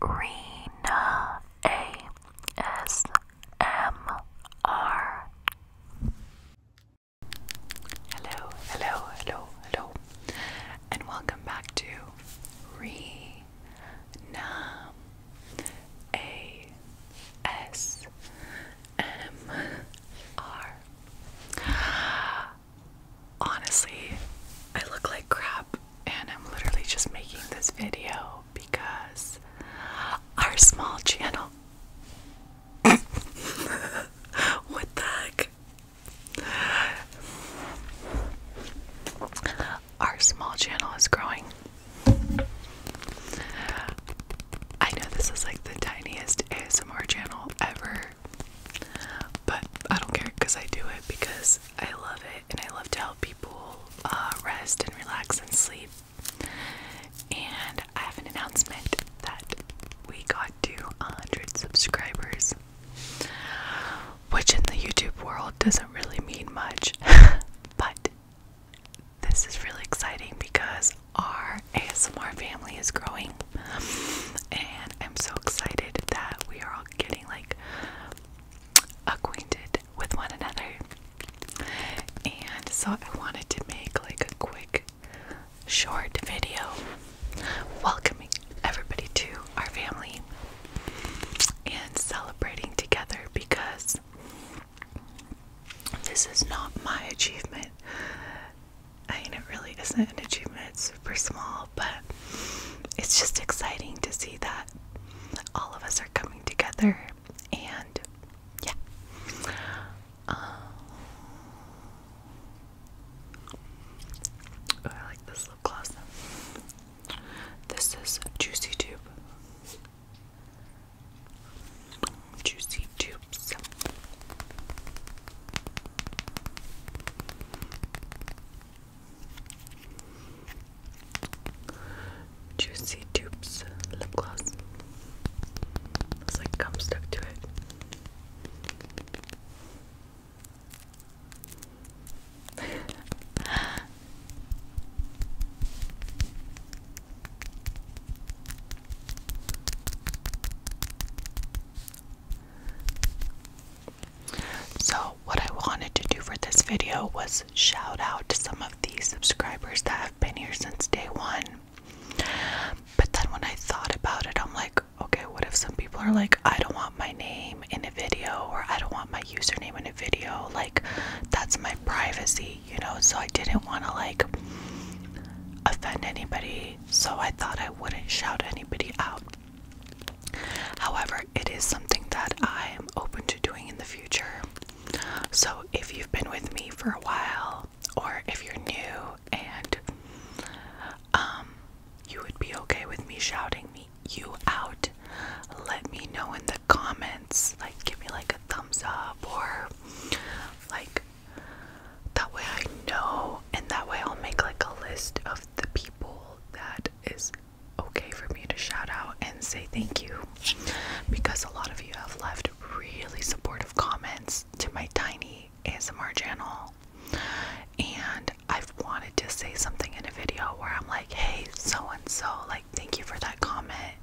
Rena ASMR. Hello, hello, hello, hello, and welcome back to Rena ASMR honestly, I look like crap and I'm literally just making this video because our small channel. what the heck? Our small channel is growing. I know this is like the tiniest ASMR channel ever, but I don't care because I do it because I love it and I love to help people uh, rest and relax and sleep. And I have an announcement that we got to 100 subscribers, which in the YouTube world doesn't really mean much, but this is really exciting because our ASMR family is growing and I'm so excited that we are all getting like acquainted with one another. And so I wanted to make like a quick short video welcoming everybody to our family and celebrating together because this is not my achievement. I mean, it really isn't an achievement, it's super small, but it's just exciting to see that all of us are coming together and yeah. Um, oh, I like this lip gloss. This is Juicy Tube. Juicy Tubes. Juicy Dupes lip gloss. It's like gum stuck to it. So, what I wanted to do for this video was shout out to some of the subscribers that have been here since day one. But then, when I thought about it, I'm like, okay, what if some people are like, I don't want my name in a video, or I don't want my username in a video? Like, that's my privacy, you know? So, I didn't want to like offend anybody so I thought I wouldn't shout anybody out. However, it is something that I am open to doing in the future. So if you've been with me for a while, or if you're new and um, you would be okay with me shouting me you out, let me know in the comments. Like, give me like a thumbs up or like that way I know, and that way I'll make like a list of the people that is okay for me to shout out and say thank you. Because a lot of you have left really supportive comments to my tiny ASMR channel. And I've wanted to say something in a video where I'm like, hey, so and so, like, thank you for that comment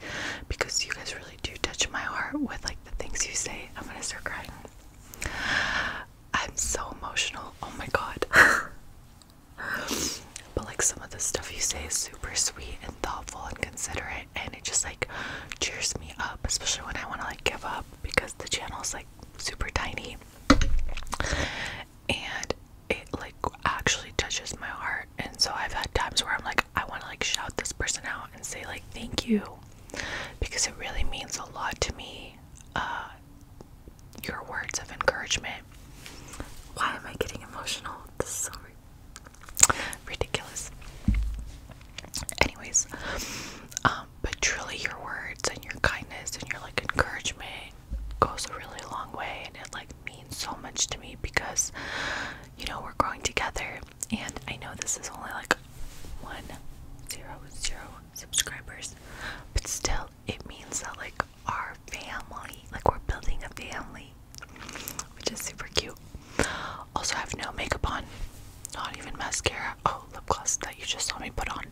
because you guys really do touch my heart with like the things you say. I'm gonna start crying. I'm so emotional. Oh my god. but like some of the stuff you say is super sweet and thoughtful and considerate and it just like cheers me up, especially when I want to like give up because the channel is like super tiny. And it like actually touches my heart. And so I've had times where I'm like I want to like shout this person out and say like thank you because it really means a lot to me. Uh, your words of encouragement. Why am I getting emotional? This is so ridiculous. Anyways, um, but truly, your words and your kindness and your like encouragement goes a really long way, and it like means so much to me because you know we're growing together, and I know this is only like one zero zero subscribers, but still, it means that like our family, like we're building a family, which is super cute. Also, have no makeup on, not even mascara. Oh, lip gloss that you just saw me put on.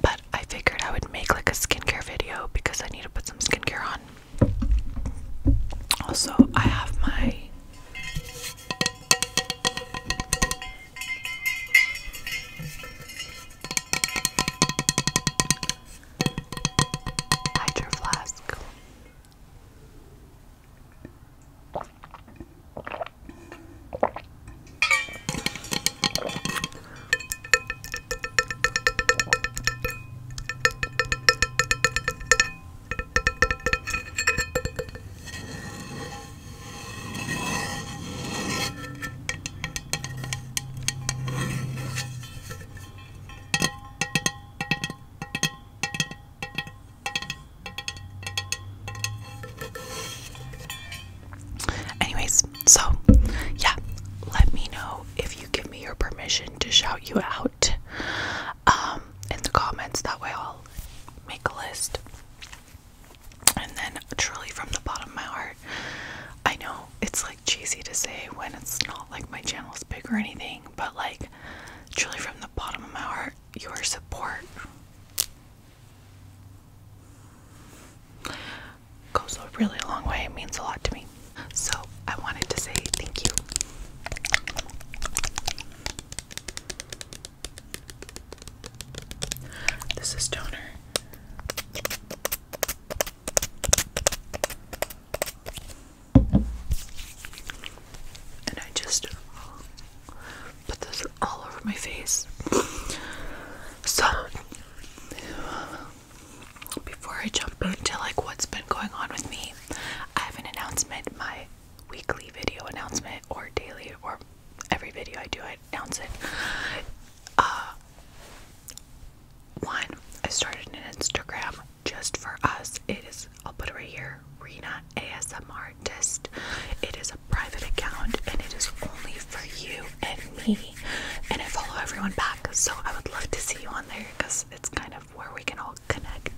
But I figured I would make like a skincare video because I need to put some skincare on. Also, I have my Hydro Flask. Anyways, so yeah, let me know if you give me your permission to shout you out um, in the comments. That way, I'll make a list. And then, truly, from the bottom of my heart, I know it's like cheesy to say when it's not like my channel is big or anything, but like, truly, from the bottom of my heart, your support goes a really long way. It means a lot to me. So I wanted to say thank you. This is toner. And I just put this all over my face. So before I jump into like what's been going on with me, I have an announcement, my weekly video announcement or daily or every video I do I announce it. Uh, one, I started an Instagram just for us. It is I'll put it right here, Rena ASMR Artist. It is a private account and it is only for you and me. And I follow everyone back, so I would love to see you on there because it's kind of where we can all connect.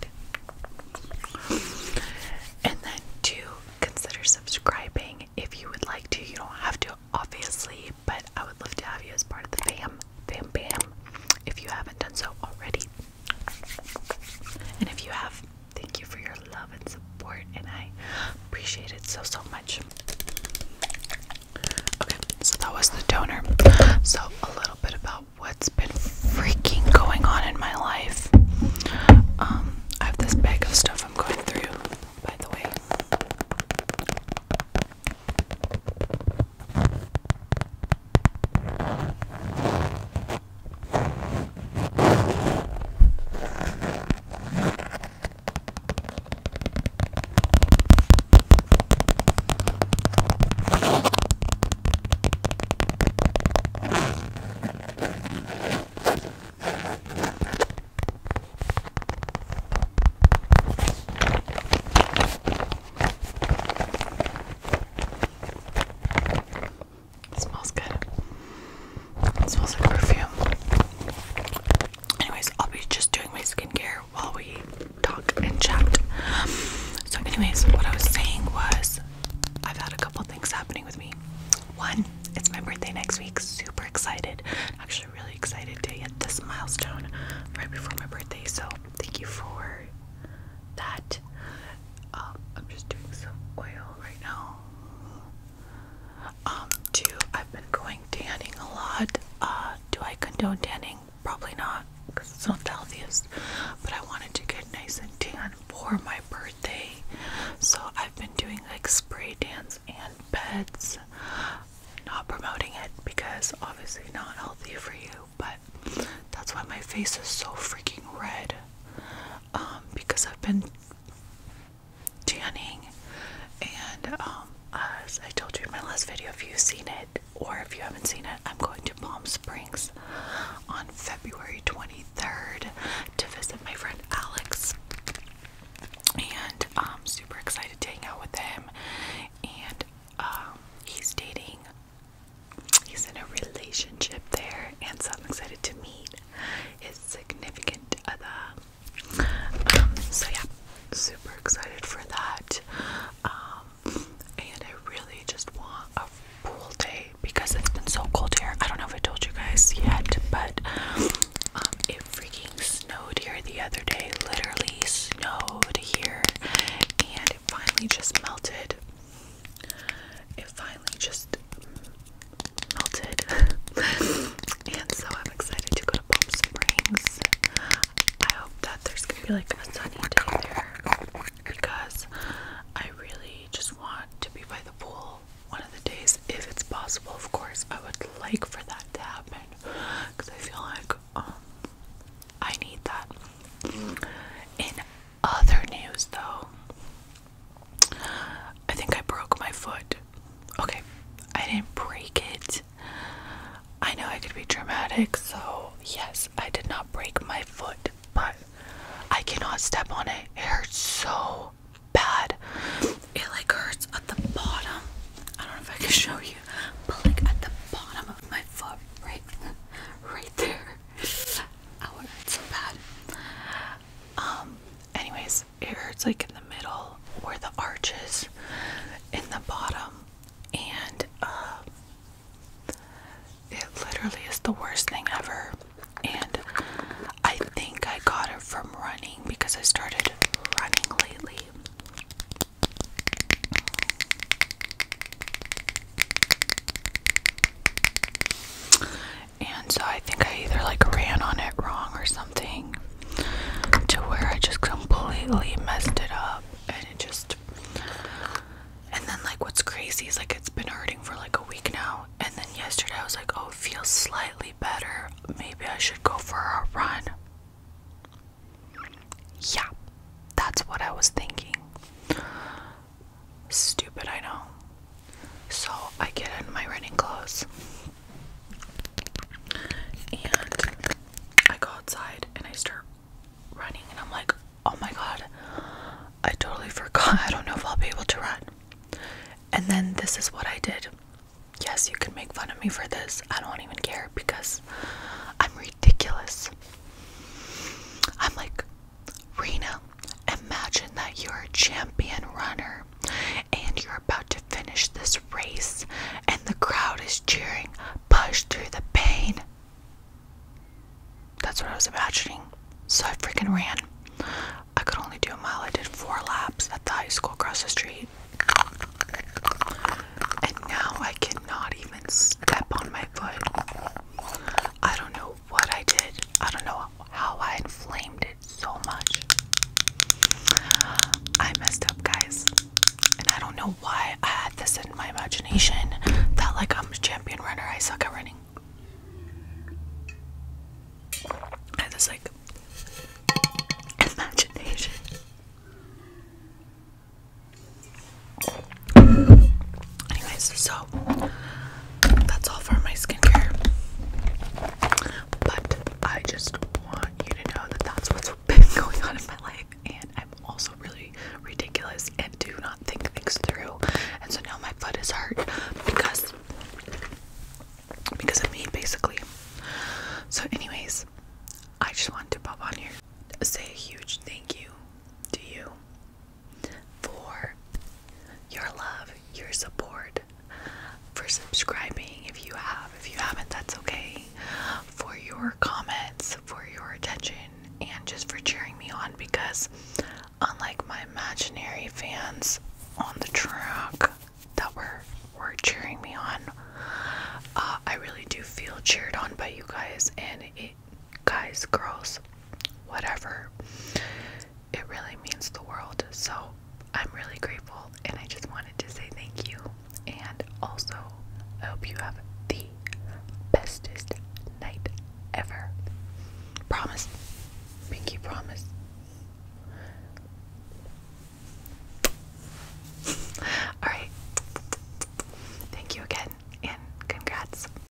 And then, two, consider subscribing if you would like to. You don't have to, obviously, but I would love to have you as part of the fam, fam, fam. if you haven't done so already. And if you have, thank you for your love and support, and I appreciate it so, so much. Okay, so that was the donor. So, a little bit about what's been freaking going on in my life. Um, I have this bag of stuff I'm going through, by the way smells good. smells like perfume. Anyways, I'll be just doing my skincare while we talk and chat. So, anyways, what I was saying was I've had a couple things happening with me. One, it's my birthday next week. Super excited. Actually, really excited to hit this milestone right before my birthday. So, thank you for that. Um, I'm just doing some oil right now. Um, two, I've been going tanning a lot. Uh, do I condone tanning? Probably not, because it's not the healthiest. But I wanted to get nice and tan for my birthday, so I've been doing like spray tans and beds. Not promoting it because obviously not healthy for you, but that's why my face is so freaking red. Um, because I've been tanning and um, as I told you in my last video if you've seen it or if you haven't seen it I'm going to Palm Springs on February 23rd to visit my friend Alex and I'm um, super excited to hang out with him and um, he's dating he's in a relationship there and so I'm excited to meet his significant other um, so yeah, super excited for that. Um, and I really just want a pool day because it's been so cold here. I don't know if I told you guys yet, but um, it freaking snowed here the other day. Literally snowed here, and it finally just melted. It finally just melted. And so I'm excited to go to Palm Springs. I hope that there's gonna be like a sunny day there because I really just want to be by the pool one of the days if it's possible. Of course, I would like for that to happen because I feel like um I need that. In other news, though, I think I broke my foot Okay, I didn't break it. I know I could be dramatic, so yes, I did not break my foot, but I cannot step on it. It hurts so bad. It like hurts at the bottom. I don't know if I can show you, but like at the bottom of my foot, right, right there. Oh, it hurts so bad. Um. Anyways, it hurts like in the middle where the arches, in the bottom, and uh, it literally is the worst thing ever. And I think I got it from running because I started running lately and so I think I either like ran on it wrong or something to where I just completely messed it up and it just and then like what's crazy is like it's been hurting for like a week now and then yesterday I was like oh feels slightly better maybe I should go for a run yeah that's what I was thinking stupid I know so I get in my running clothes and I go outside and I start running and I'm like, oh my god, I totally forgot. I don't know if I'll be able to run. And then this is what I did. Yes, you can make fun of me for this. I don't even care because I'm ridiculous. I'm like, Rena, imagine that you're a champion runner and you're about to finish this race, and the crowd is cheering, push through the pain. That's what I was imagining. So I freaking ran. I could only do a mile. I did four laps at the high school across the street. And now I cannot even step on my foot. I don't know what I did. I don't know how I inflamed it so much. I messed up, guys. And I don't know why I had this in my imagination that, like, I'm a champion runner, I suck at running. I had like, imagination. Anyways, so that's all for my skincare. But I just want you to know that that's what's been going on in my life, and I'm also really ridiculous and do not think things through. And so now my foot is hurt because because of me, basically. So, anyways, I just wanted to pop on here, say a huge thank you to you for your love, your support, for subscribing if you have. If you haven't, that's okay. For your comments, for your attention, and just for cheering me on because, unlike my imaginary fans on the track that were, were cheering me on, uh, I really do feel cheered on by you guys, and it guys, girls, whatever. It really means the world. So I'm really grateful and I just wanted to say thank you. And also, I hope you have the bestest night ever. Promise. Pinky promise. Alright. Thank you again and congrats.